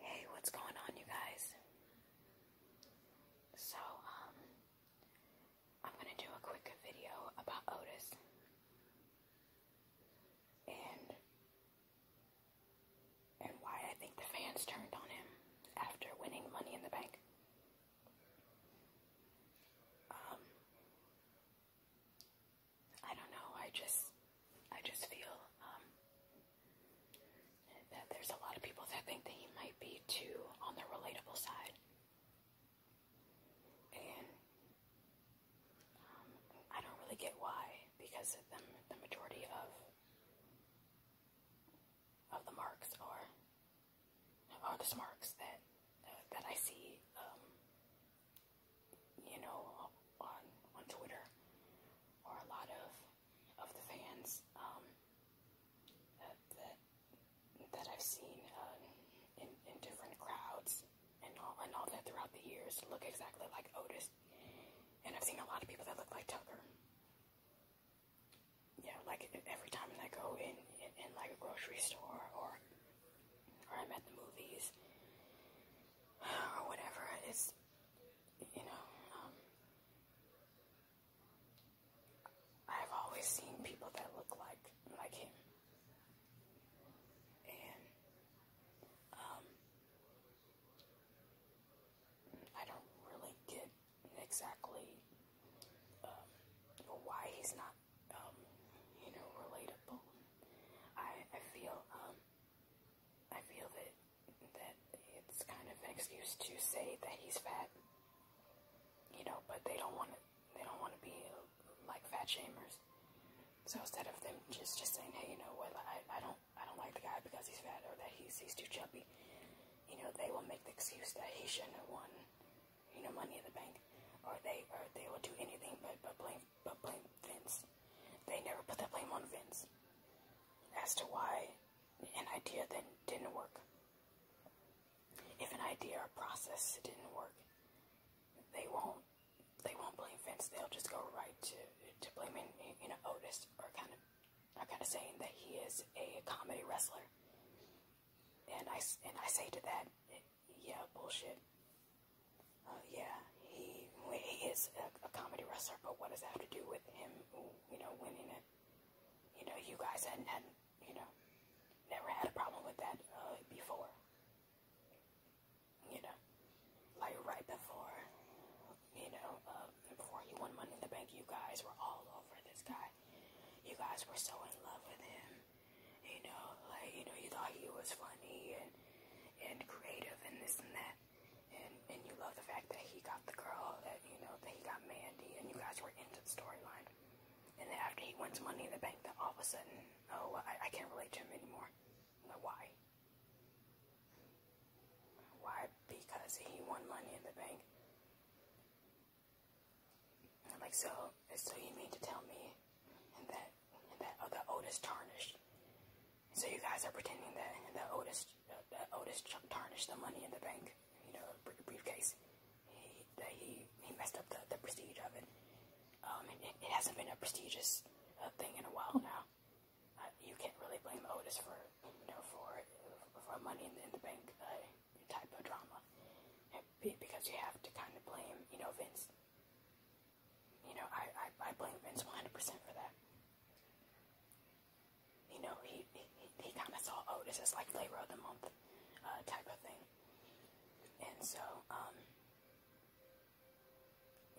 Hey, what's going on, you guys? So, um, I'm gonna do a quick video about Otis. And and why I think the fans turned on him after winning Money in the Bank. Um, I don't know. I just, I just feel um, that there's a lot of people that think that he might be too on the relatable side, and um, I don't really get why, because the, the majority of of the marks are are the marks that uh, that I see um, you know, on on Twitter, or a lot of of the fans um, that, that I've seen um, in in different crowds and all and all that throughout the years look exactly like Otis, and I've seen a lot of people that look like Tucker. Yeah, like every time I go in, in like a grocery store or or I'm at the movies or whatever, it's you know, um, I've always seen people that look like like him, and um, I don't really get exactly um, why he's not, um, you know, relatable. I I feel um, I feel that that it's kind of an excuse to say that he's fat. You know, but they don't want to, they don't want to be like fat shamers. So instead of them just just saying, hey, you know what, I I don't I don't like the guy because he's fat or that he's he's too chubby. You know, they will make the excuse that he shouldn't have won, you know, money in the bank, or they or they will do anything but but blame but blame Vince. They never put the blame on Vince as to why an idea then didn't work. If an idea or process didn't work, they won't they won't blame Vince. They'll just go right to to blaming you know Otis or kind of or kind of saying that he is a comedy wrestler. And I and I say to that, yeah, bullshit. Uh, yeah, he he is a, a comedy wrestler, but what does that have to do with him, you know, winning it? You know, you guys hadn't had, you know, never had a problem with that uh, before. You know, like right before, you know, uh, before he won Money in the Bank, you guys were all over this guy. You guys were so in love with him. You know, like you know, you thought he was funny and and creative and this and that and and you love the fact that he got the girl that you know that he got Mandy, and you guys were into the storyline. And then after he wins Money in the Bank, that all of a sudden, oh, I, I can't relate to him anymore. Like, why? Why? Because he won Money in the Bank. And like so, so you mean to tell me, and that and that other Otis tarnished so you guys are pretending that the Otis, that Otis tarnished the money in the bank, you know, briefcase. He, that he, he messed up the, the prestige of it. Um, it, it hasn't been a prestigious uh, thing in a while now. Uh, you can't really blame Otis for, you know, for for money in the, in the bank uh, type of drama, because you have to kind of blame, you know, Vince. You know, I, I, I blame Vince 100% for that. You know, he, he, he kind of saw, oh, this like Flavor of the Month uh, type of thing. And so, um,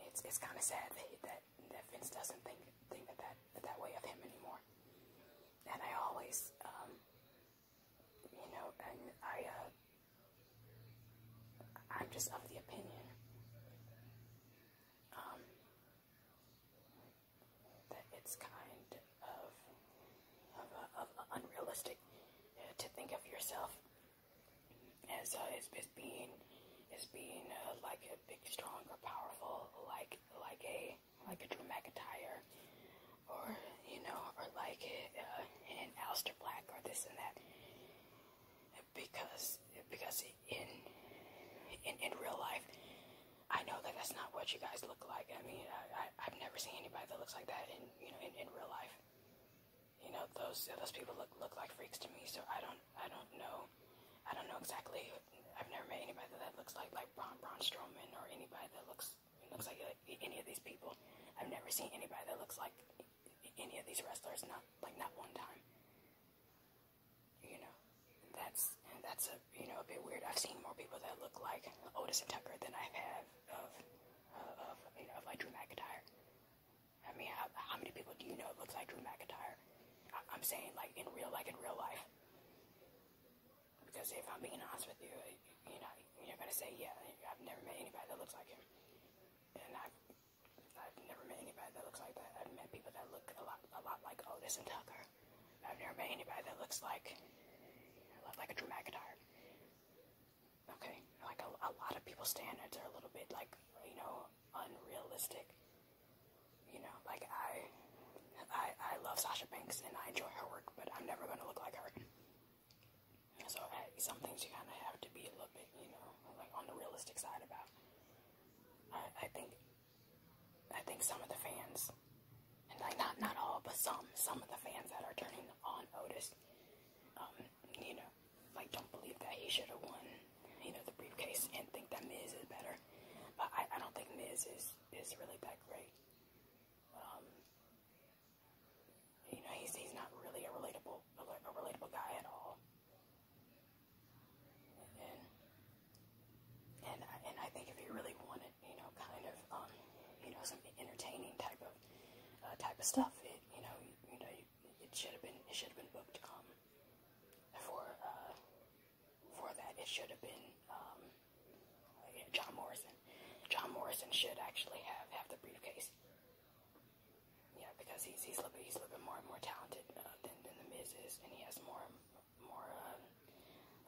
it's, it's kind of sad that, that, that Vince doesn't think, think that, that, that way of him anymore. And I always, um, you know, and I, uh, I'm just of the opinion um, that it's kind of, of, uh, of unrealistic uh, to think of yourself as, uh, as, as being as being uh, like a big, strong, or powerful, like like a like a Drew McIntyre, or you know, or like a, uh, an Aleister Black, or this and that because because in in in real life, I know that that's not what you guys look like. I mean, I, I have never seen anybody that looks like that in you know in, in real life. You know those those people look look like freaks to me. So I don't I don't know I don't know exactly. I've never met anybody that looks like like Braun Braun Strowman or anybody that looks looks like any of these people. I've never seen anybody that looks like any of these wrestlers. Not like not one time you know, that's and that's a you know a bit weird. I've seen more people that look like Otis and Tucker than I have of uh, of you know of like Drew McIntyre. I mean, how, how many people do you know looks like Drew McIntyre? I, I'm saying like in real like in real life. Because if I'm being honest with you, you know, you're gonna say, yeah, I've never met anybody that looks like him, and I've I've never met anybody that looks like that. I've met people that look a lot, a lot like Otis and Tucker. I've never met anybody that looks like, like a Drew McIntyre. Okay, like a, a lot of people's standards are a little bit like, you know, unrealistic. You know, like I, I, I love Sasha Banks and I enjoy her work, but I'm never gonna look like her. So I, some things you kind of have to be a little bit, you know, like on the realistic side about. I, think I think some of the fans, and like not not all, but some some of the fans that are turning on Otis, um, you know, like don't believe that he should have won, you know, the briefcase, and think that Miz is better. But I, I don't think Miz is is really that great. Um, you know, he's he's not really a relatable a relatable guy at all. And then, and I, and I think if you really wanted, you know, kind of, um, you know, some entertaining type of uh, type of stuff, it, you know, you, you know, you, it should have been it should have been booked um, for uh, for that. It should have been um, John Morrison. John Morrison should actually have have the briefcase. Yeah, because he's he's a little bit, he's a little bit more more talented uh, than than the Miz is, and he has more more um,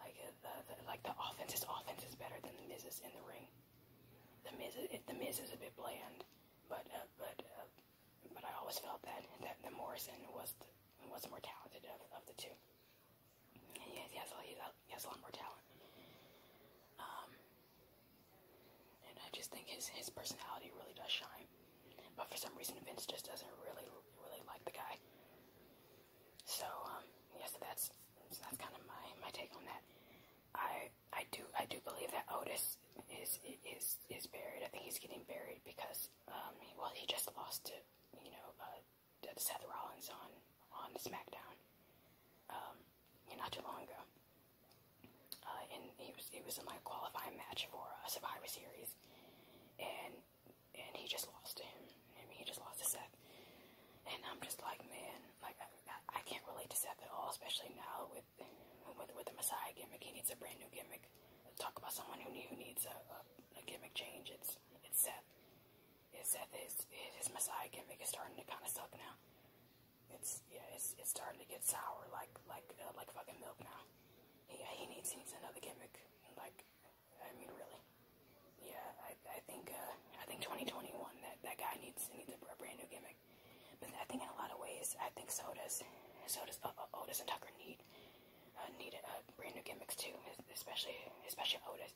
like uh, the, the like the offense. His offense is better than the Miz's in the ring. The Miz it, the Miz is a bit bland, but uh, but uh, but I always felt that that the Morrison was the, was the more talented of, of the two. And he has he has, a, he has a lot more talent. Um, and I just think his his personality really does shine. But for some reason, Vince just doesn't really really like the guy. So um, yeah, that's that's kind of my my take on that. I I do I do believe that Otis is is is buried. I think he's getting buried because um well he just lost to you know uh, Seth Rollins on on SmackDown um not too long ago. Uh, and he was it was in my qualifying match for uh, Survivor Series, and and he just lost to him. I mean, he just lost to Seth, and I'm just like, man, like I, I can't relate to Seth at all, especially now with with with the Messiah gimmick. He needs a brand new gimmick. Talk about someone who who needs a, a, a gimmick change. It's it's Seth. It's Seth. His his Messiah gimmick is starting to kind of suck now. It's yeah, it's it's starting to get sour like like uh, like fucking milk now. Yeah, he needs he needs another gimmick. Like, I mean, really. Yeah, I I think uh, I think 2021 that that guy needs needs a, a brand new gimmick. But I think in a lot of ways, I think so does so does uh, uh, Otis and Tucker need uh, need uh, brand new gimmicks too, especially especially Otis.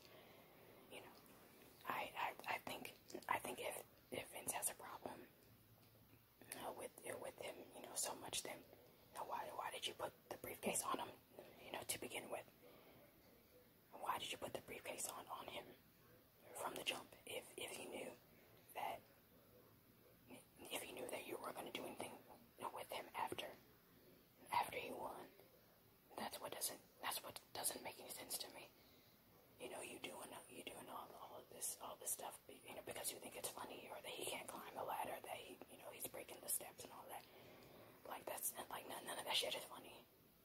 You know, I I I think I think if if Vince has a problem you know, with with him, you know, so much then you know, why why did you put the briefcase on him, you know, to begin with? Why did you put the briefcase on on him from the jump if if he knew that if he knew that you weren't gonna do anything you know, with him after after he won? That's what doesn't that's what doesn't make any sense to me. You know, you doing you doing all all of this all this stuff stuff, you know, because you think it's funny or that he can't climb the ladder, that he, you know, he's breaking the steps and all that. Like, that's, like, none, none of that shit is funny.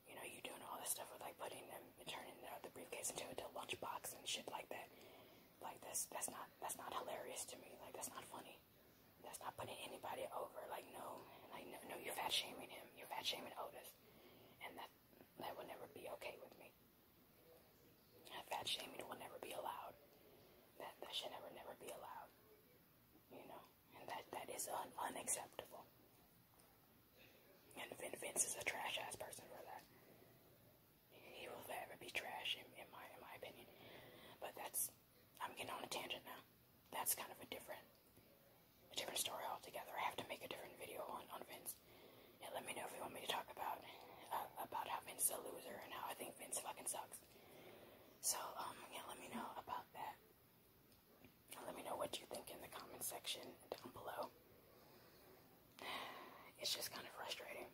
You know, you doing all this stuff with, like, putting them and turning uh, the briefcase into a lunchbox and shit like that. Like, that's, that's not, that's not hilarious to me. Like, that's not funny. That's not putting anybody over. Like, no, like, no, no, you're fat shaming him. You're fat shaming Otis. And that, that will never be okay with me. That shaming will never be allowed. That that should never never be allowed. You know, and that that is un unacceptable. And Vince is a trash ass person for that. He will forever be trash in, in my in my opinion. But that's I'm getting on a tangent now. That's kind of a different a different story altogether. I have to make a different video on, on Vince and let me know if you want me to talk about uh, about how Vince is a loser and how I think Vince fucking sucks. So um yeah, let me know about that. Let me know what you think in the comment section down below. It's just kind of frustrating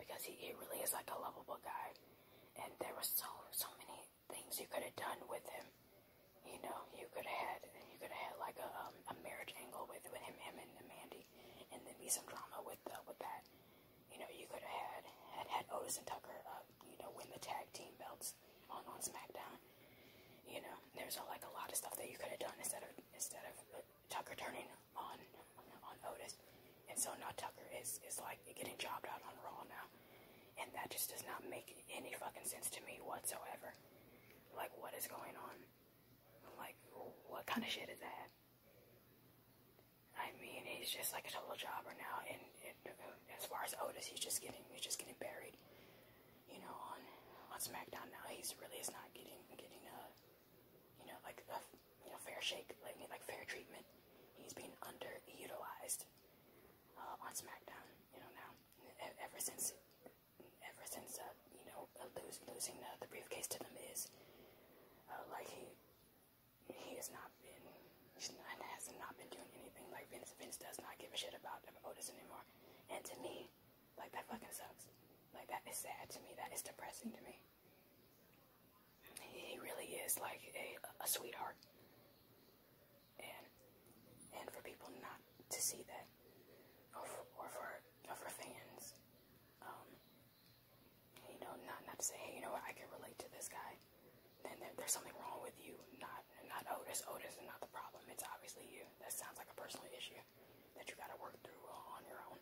because he, he really is like a lovable guy, and there was so so many things you could have done with him. You know, you could have had you could have had like a um, a marriage angle with with him, him and Mandy story and then be some drama with the, uh, with that. You know, you could have had had, had Otis and Tucker, uh, you know, win the tag team belts on on SmackDown. You know, there's a, like a lot of stuff that you could have done instead of instead of uh, Tucker turning on on Otis, and so now Tucker is is like getting jobbed out on Raw now, and that just does not make any fucking sense to me whatsoever. Like, what is going on? like, what kind of shit is that? I mean, he's just like a total jobber now, and, uh, as far as Otis, he's just getting he's just getting buried. You know, on on SmackDown now, he's really is not getting getting a you know like a you know fair shake like like fair treatment. He's being underutilized uh, on SmackDown. You know now, ever since ever since uh, you know lose, losing the, the briefcase to them is uh, like he he has not been not, has not been doing anything like Vince. Vince does not give a shit about Otis anymore, and to me, like that fucking sucks. Like that is sad to me. That is depressing to me. He really is like a, a sweetheart, and and for people not to see that, or for, or for, or for fans um, you know, not not to say, hey, you know what, I can relate to this guy. Then there, there's something wrong with you. Not not Otis. Oh, Otis oh, is not the problem. It's obviously you. That sounds like a personal issue that you got to work through on your own.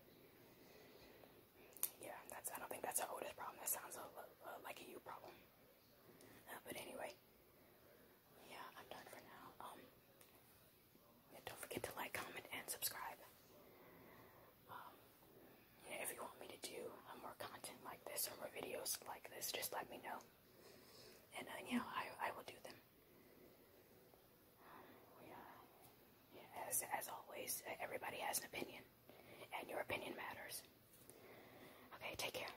Yeah, that's. I don't think that's an Otis oh, problem. That sounds a, a, like a you problem. Uh, but anyway, yeah, I'm done for now. Um, and don't forget to like, comment, and subscribe. Um, if you want me to do uh, more content like this or more videos like this, just let me know. And uh, yeah, I, I will do them. Um, as, as always, uh, everybody has an opinion, and your opinion matters. Okay, take care.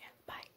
Yeah, bye.